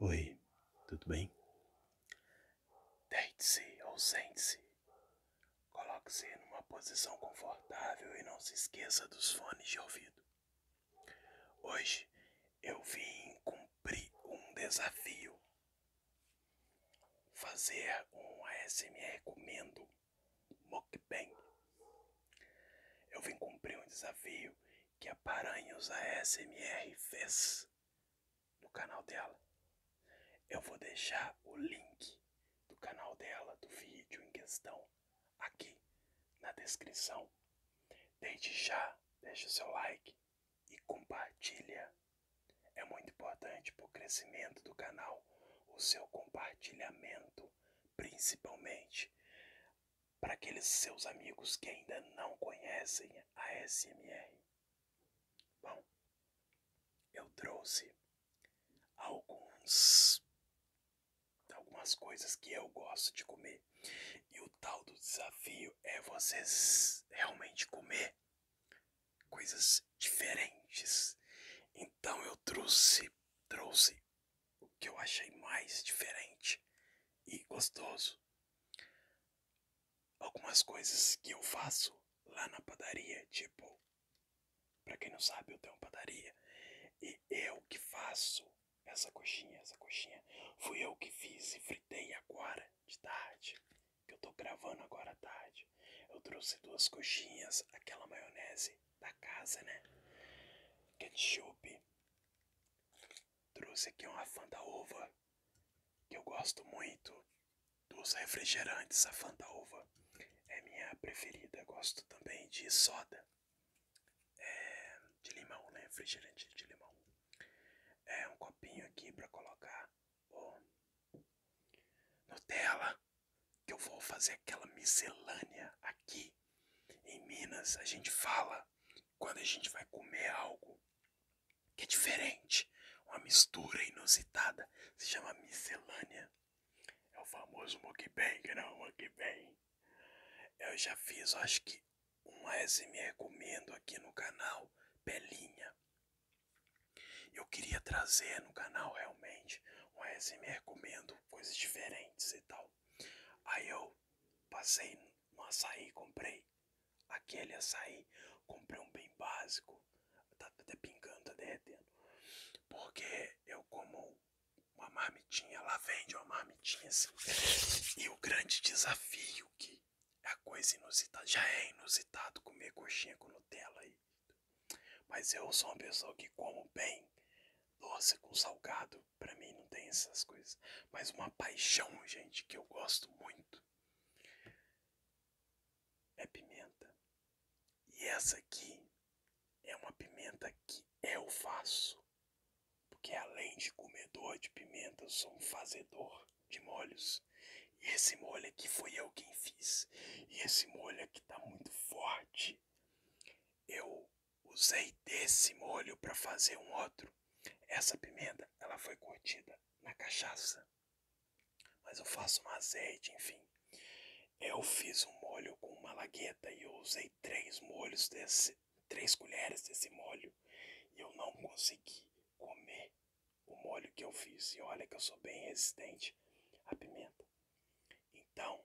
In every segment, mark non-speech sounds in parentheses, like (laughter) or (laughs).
Oi, tudo bem? Deite-se ou sente-se. Coloque-se numa posição confortável e não se esqueça dos fones de ouvido. Hoje eu vim cumprir um desafio. Fazer um ASMR comendo mukbang. Eu vim cumprir um desafio que a Paranhos ASMR fez no canal dela. Eu vou deixar o link do canal dela, do vídeo em questão, aqui na descrição. Desde já, deixa seu like e compartilha. É muito importante para o crescimento do canal o seu compartilhamento, principalmente para aqueles seus amigos que ainda não conhecem a SMR. Bom, eu trouxe alguns algumas coisas que eu gosto de comer. E o tal do desafio é vocês realmente comer coisas diferentes. Então eu trouxe trouxe o que eu achei mais diferente e gostoso. Algumas coisas que eu faço lá na padaria, tipo, para quem não sabe, eu tenho uma padaria e eu que faço essa coxinha, essa coxinha, fui eu que fiz e fritei agora de tarde, que eu tô gravando agora à tarde. Eu trouxe duas coxinhas, aquela maionese da casa, né? Ketchup, Trouxe aqui uma Fanta Uva, que eu gosto muito. Dos refrigerantes, a Fanta Uva é minha preferida. Gosto também de soda, é, de limão, né? Refrigerante de limão. É um copinho aqui para colocar o Nutella, que eu vou fazer aquela miscelânea aqui em Minas, a gente fala quando a gente vai comer algo que é diferente, uma mistura inusitada, se chama miscelânea. É o famoso mukbang, não, mukbang. Eu já fiz, acho que um ASMR comendo aqui no canal, Belinha. Eu queria trazer no canal realmente um ASMR comendo coisas diferentes e tal. Aí eu Passei no açaí, comprei aquele açaí, comprei um bem básico, tá até pingando, tá derretendo. Porque eu como uma marmitinha, lá vende uma marmitinha assim. E o grande desafio que é a coisa inusitada, já é inusitado comer coxinha com Nutella aí. Mas eu sou uma pessoa que como bem doce com salgado para mim não tem essas coisas. Mas uma paixão, gente, que eu gosto muito é pimenta. E essa aqui é uma pimenta que eu faço. Porque além de comedor de pimenta, eu sou um fazedor de molhos. E esse molho aqui foi eu quem fiz. E esse molho aqui tá muito forte. Eu Usei desse molho para fazer um outro. Essa pimenta, ela foi curtida na cachaça. Mas eu faço um azeite, enfim. Eu fiz um molho com uma lagueta e eu usei três molhos desse, três colheres desse molho e eu não consegui comer o molho que eu fiz. E olha que eu sou bem resistente à pimenta. Então,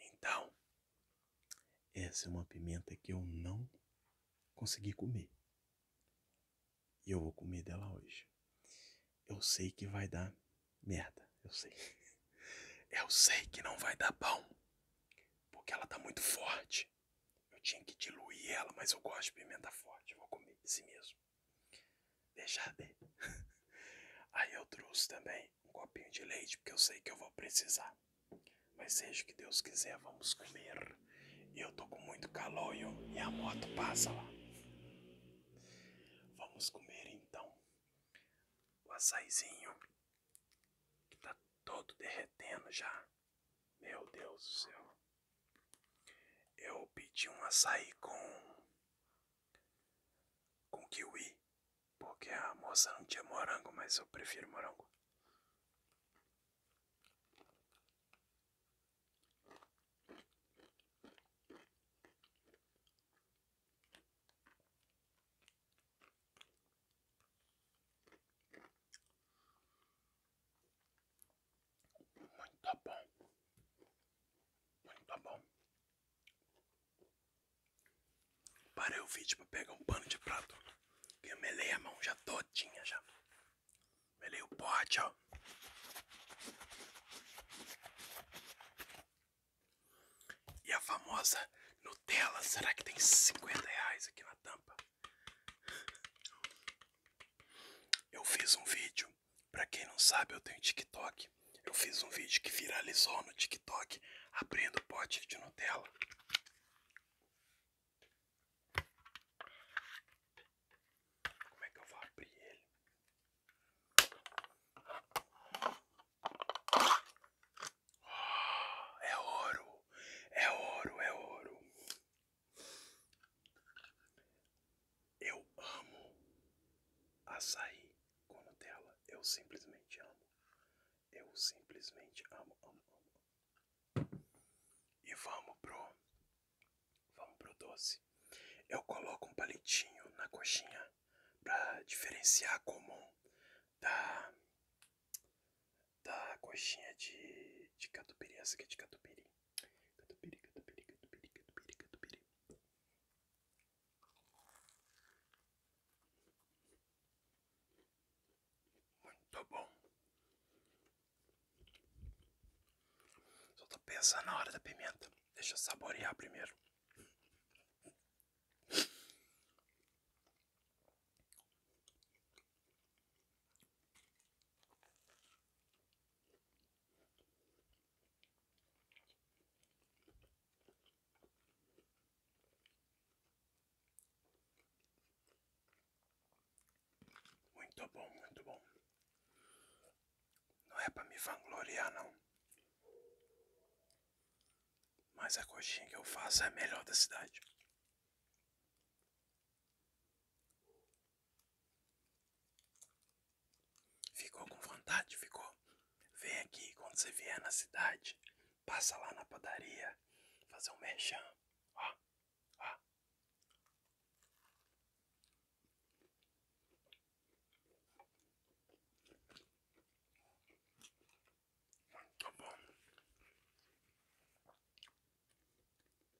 então, essa é uma pimenta que eu não consegui comer. E eu vou comer dela hoje. Eu sei que vai dar merda, eu sei. (laughs) Eu sei que não vai dar bom, porque ela tá muito forte. Eu tinha que diluir ela, mas eu gosto de pimenta forte, vou comer esse mesmo. Deixar de. (laughs) Aí eu trouxe também um copinho de leite, porque eu sei que eu vou precisar. Mas seja o que Deus quiser, vamos comer. E eu tô com muito calor e, e a moto passa lá. Vamos comer então o açaizinho, que tá todo derretendo já. Meu Deus do céu. Eu pedi um açaí com com kiwi, porque a moça não tinha morango, mas eu prefiro morango. Muito bom, muito bom. Parei o vídeo pra pegar um pano de prato. Que eu melei a mão já todinha já. Melei o pote, ó. E a famosa Nutella, será que tem 50 reais aqui na tampa? Eu fiz um vídeo Pra quem não sabe, eu tenho TikTok. Eu fiz um vídeo que viralizou no TikTok abrindo pote de Nutella. Como é que eu vou abrir ele? Ah, é ouro, é ouro, é ouro. Eu amo açaí com Nutella. Eu simplesmente amo. Eu simplesmente amo, amo, amo. E vamos pro. Vamos pro doce. Eu coloco um palitinho na coxinha pra diferenciar comum da. da coxinha de, de catupiry. Essa aqui é de catupiry. Catupiry, catupiry, catupiry, catupiry, catupiry. Muito bom. Só tô pensando na hora da pimenta. Deixa eu saborear primeiro. Muito bom, muito bom. Não é para me vangloriar, não. Mas a coxinha que eu faço é a melhor da cidade. Ficou com vontade? Ficou? Vem aqui, quando você vier na cidade, passa lá na padaria, fazer um merchan. Ó, ó. Muito bom.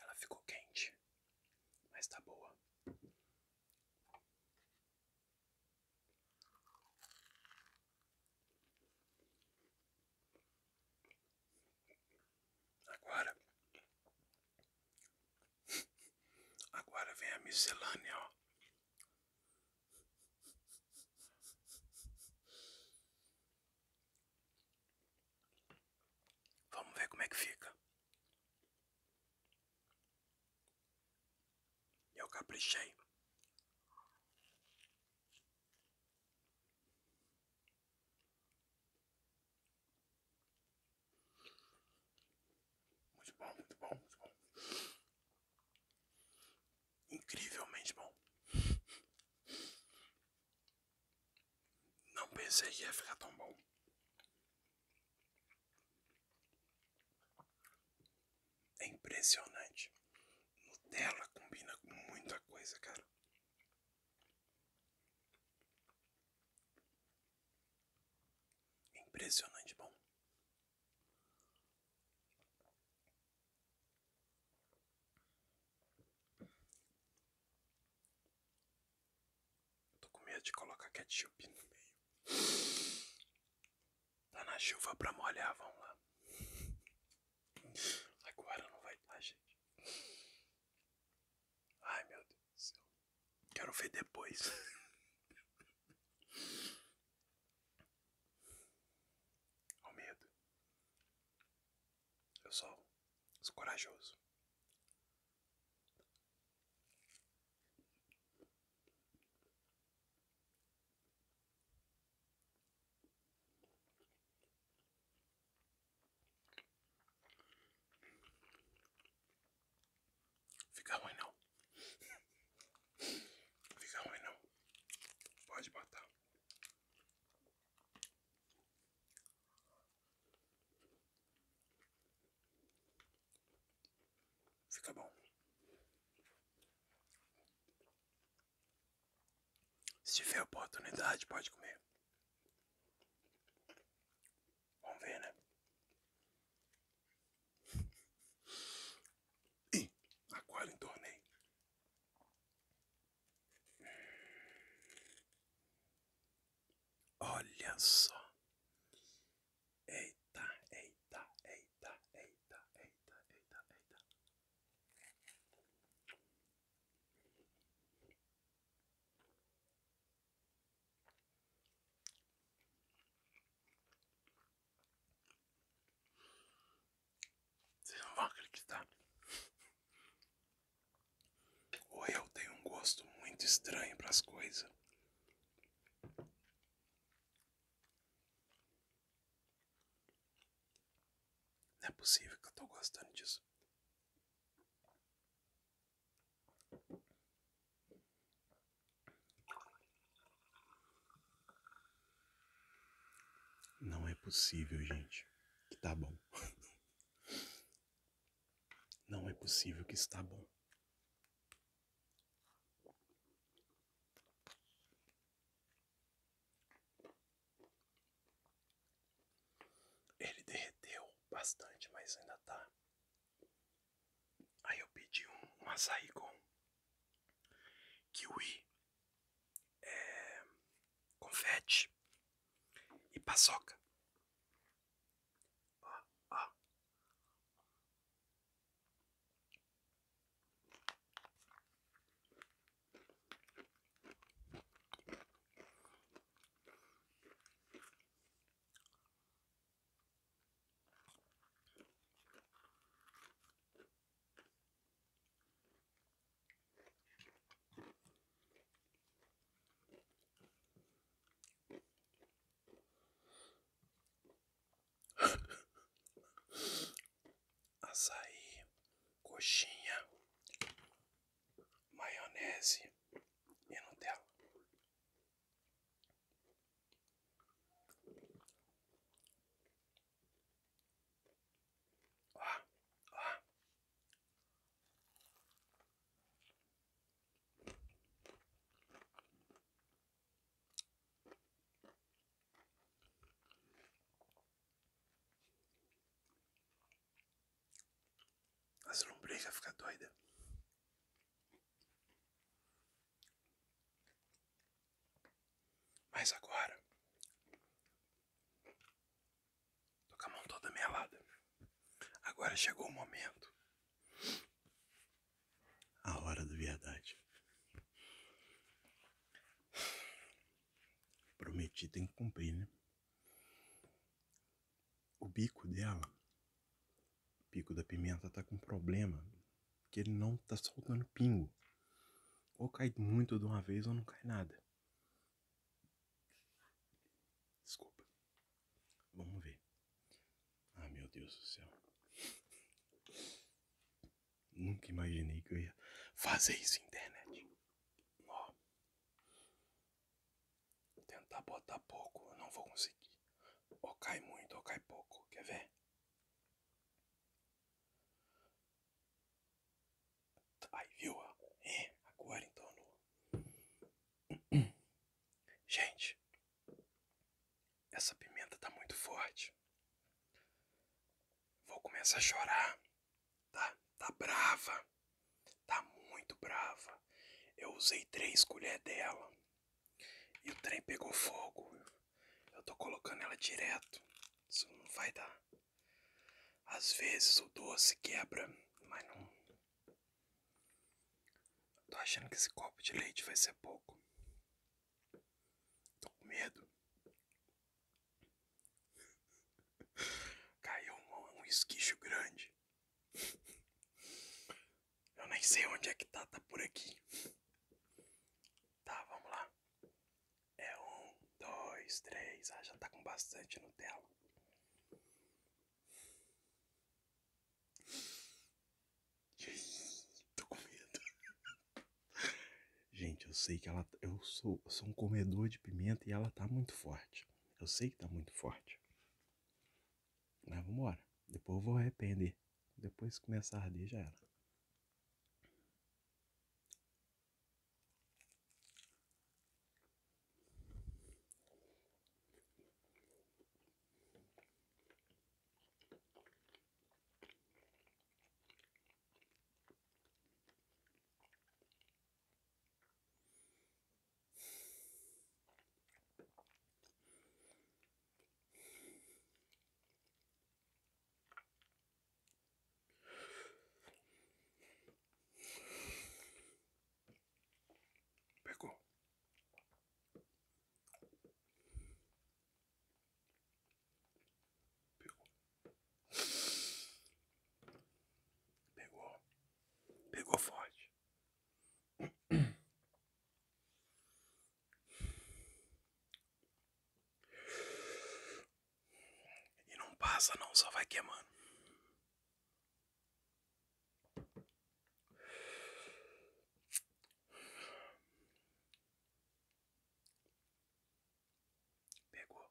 Ela ficou quente, mas tá boa. Agora, (laughs) agora vem a miscelânea, ó. Vamos ver como é que fica. Eu caprichei. Muito bom, muito bom, muito bom. Incrivelmente bom. Não pensei que ia ficar tão bom. É impressionante. Nutella combina com muita coisa, cara. Impressionante bom. Tô com medo de colocar ketchup no meio. Tá na chuva pra molhar, vamos lá. Agora não vai dar, gente. Ai, meu Deus do céu. Quero ver depois. O medo. Eu sou, sou corajoso. Fica ruim não. Fica ruim não. Pode botar. Fica bom. Se tiver oportunidade, pode comer. Vamos ver, né? E agora entornei. Olha só. Eita, eita, eita, eita, eita, eita, eita. Vocês não vão acreditar. Ou eu tenho um gosto muito estranho para as coisas. Não é possível que eu tô gostando disso. Não é possível, gente, que tá bom. (laughs) Não é possível que está bom. Ele derreteu bastante, mas ainda está. Aí eu pedi um, um açaí com kiwi, é, confete e paçoca. (coughs) Açaí, coxinha, maionese e Nutella. Ó, As lombrigas ficam doida mas agora, tô com a mão toda melada. Agora chegou o momento. A hora da verdade. Prometi, tem que cumprir, né? o bico dela, o bico da pimenta tá com problema, que ele não tá soltando pingo. Ou cai muito de uma vez ou não cai nada. Desculpa. Vamos ver. Ah, meu Deus do céu. Nunca imaginei que eu ia fazer isso internet. Ó. Tentar botar pouco, não vou conseguir. Ou cai muito ou cai pouco. Quer ver? Aí, viu? É, agora então. (clears throat) Gente, essa pimenta tá muito forte. Vou começar a chorar. Tá, tá brava tá muito brava. Eu usei três colheres dela e o trem pegou fogo. Eu tô colocando ela direto. Isso não vai dar. Às vezes o doce quebra, mas não. tô achando que esse copo de leite vai ser pouco. Tô com medo. (laughs) Caiu um, um grande. Eu nem sei onde é que tá, tá por aqui. Tá, vamos lá. É um, dois, três. Ah, já tá com bastante Nutella. Tô com medo. Gente, eu sei que ela. Eu sou, sou um comedor de pimenta e ela tá muito forte. Eu sei que tá muito forte. Mas vambora. Depois eu vou arrepender. Depois começar a arder, já era. Pegou. Pegou. Pegou. Pegou forte. E não passa não, só vai queimando. Pegou.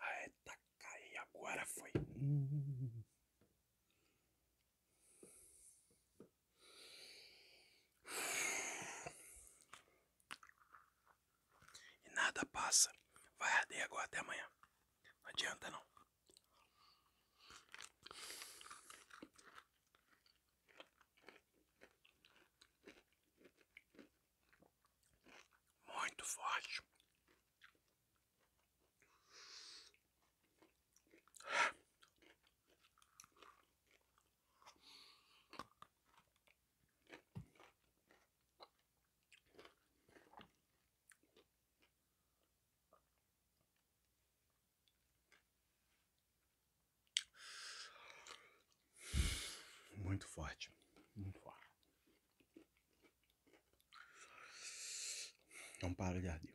Ah, eita, cai, agora foi. E nada passa. Vai arder agora até amanhã. Não adianta não. Muito forte. Muito forte. Muito forte. Não é para de arder.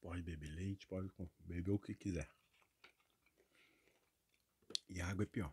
Pode beber leite, pode beber o que quiser. E água é pior.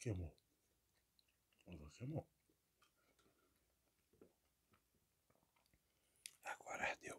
Queimou. Queimou. Agora deu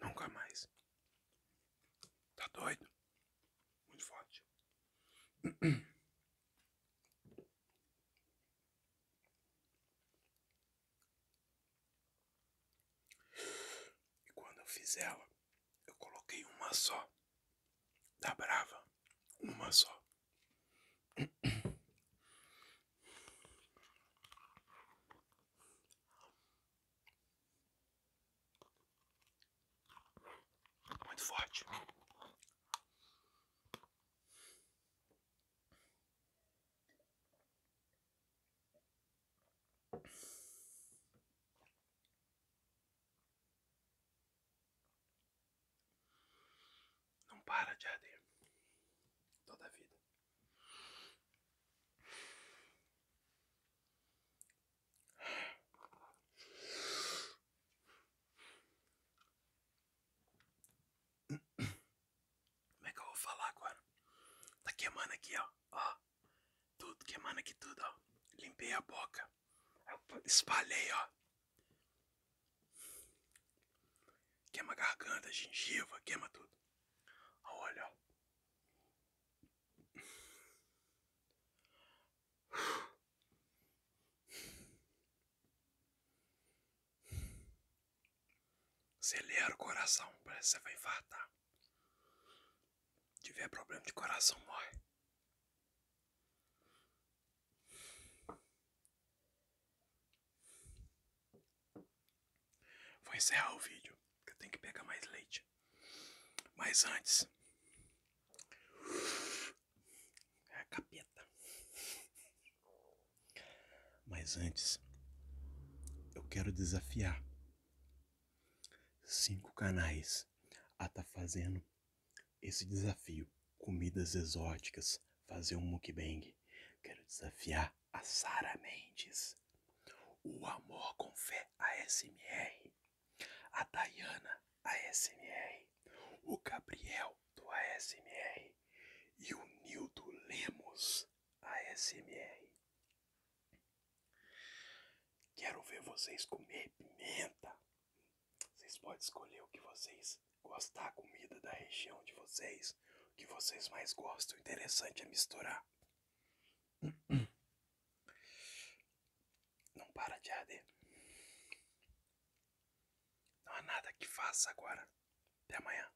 Nunca mais. Tá doido? Muito forte. E quando eu fiz ela, eu coloquei uma só. Da tá Brava. Uma só. Muito forte. Não para de arder toda a vida. Como é que eu vou falar agora? Tá queimando aqui, ó. Tudo, queimando aqui tudo, ó. Limpei a boca. Espalhei, ó. Queima a garganta, a gengiva, queima tudo. Olha, ó. Acelera o coração, parece que você vai infartar. tiver problema de coração, morre. Vou encerrar o vídeo, que eu tenho que pegar mais leite. Mas antes. É a capeta. Mas antes, eu quero desafiar cinco canais a estar tá fazendo esse desafio. Comidas exóticas, fazer um mukbang. Quero desafiar a Sara Mendes o Amor com Fé ASMR, a Dayana ASMR, o Gabriel do ASMR e o Nildo Lemos ASMR. Quero ver vocês comer pimenta. Vocês podem escolher o que vocês gostar, a comida da região de vocês o que vocês mais gostam. Interessante é misturar. (clears throat) Não para de arder. Não há nada que faça agora. Até amanhã.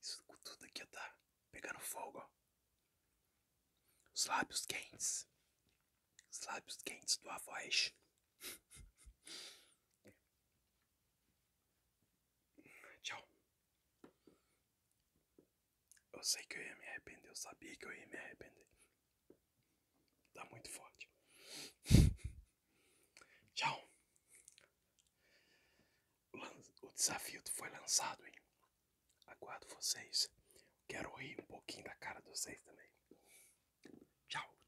Isso tudo aqui tá pegando fogo. Os lábios quentes. Os lábios quentes do voz. (laughs) Tchau. Eu sei que eu ia me arrepender, eu sabia que eu ia me arrepender. Tá muito forte. (laughs) Tchau. O desafio foi lançado, Aguardo vocês. Quero rir um pouquinho da cara de vocês também. Tchau.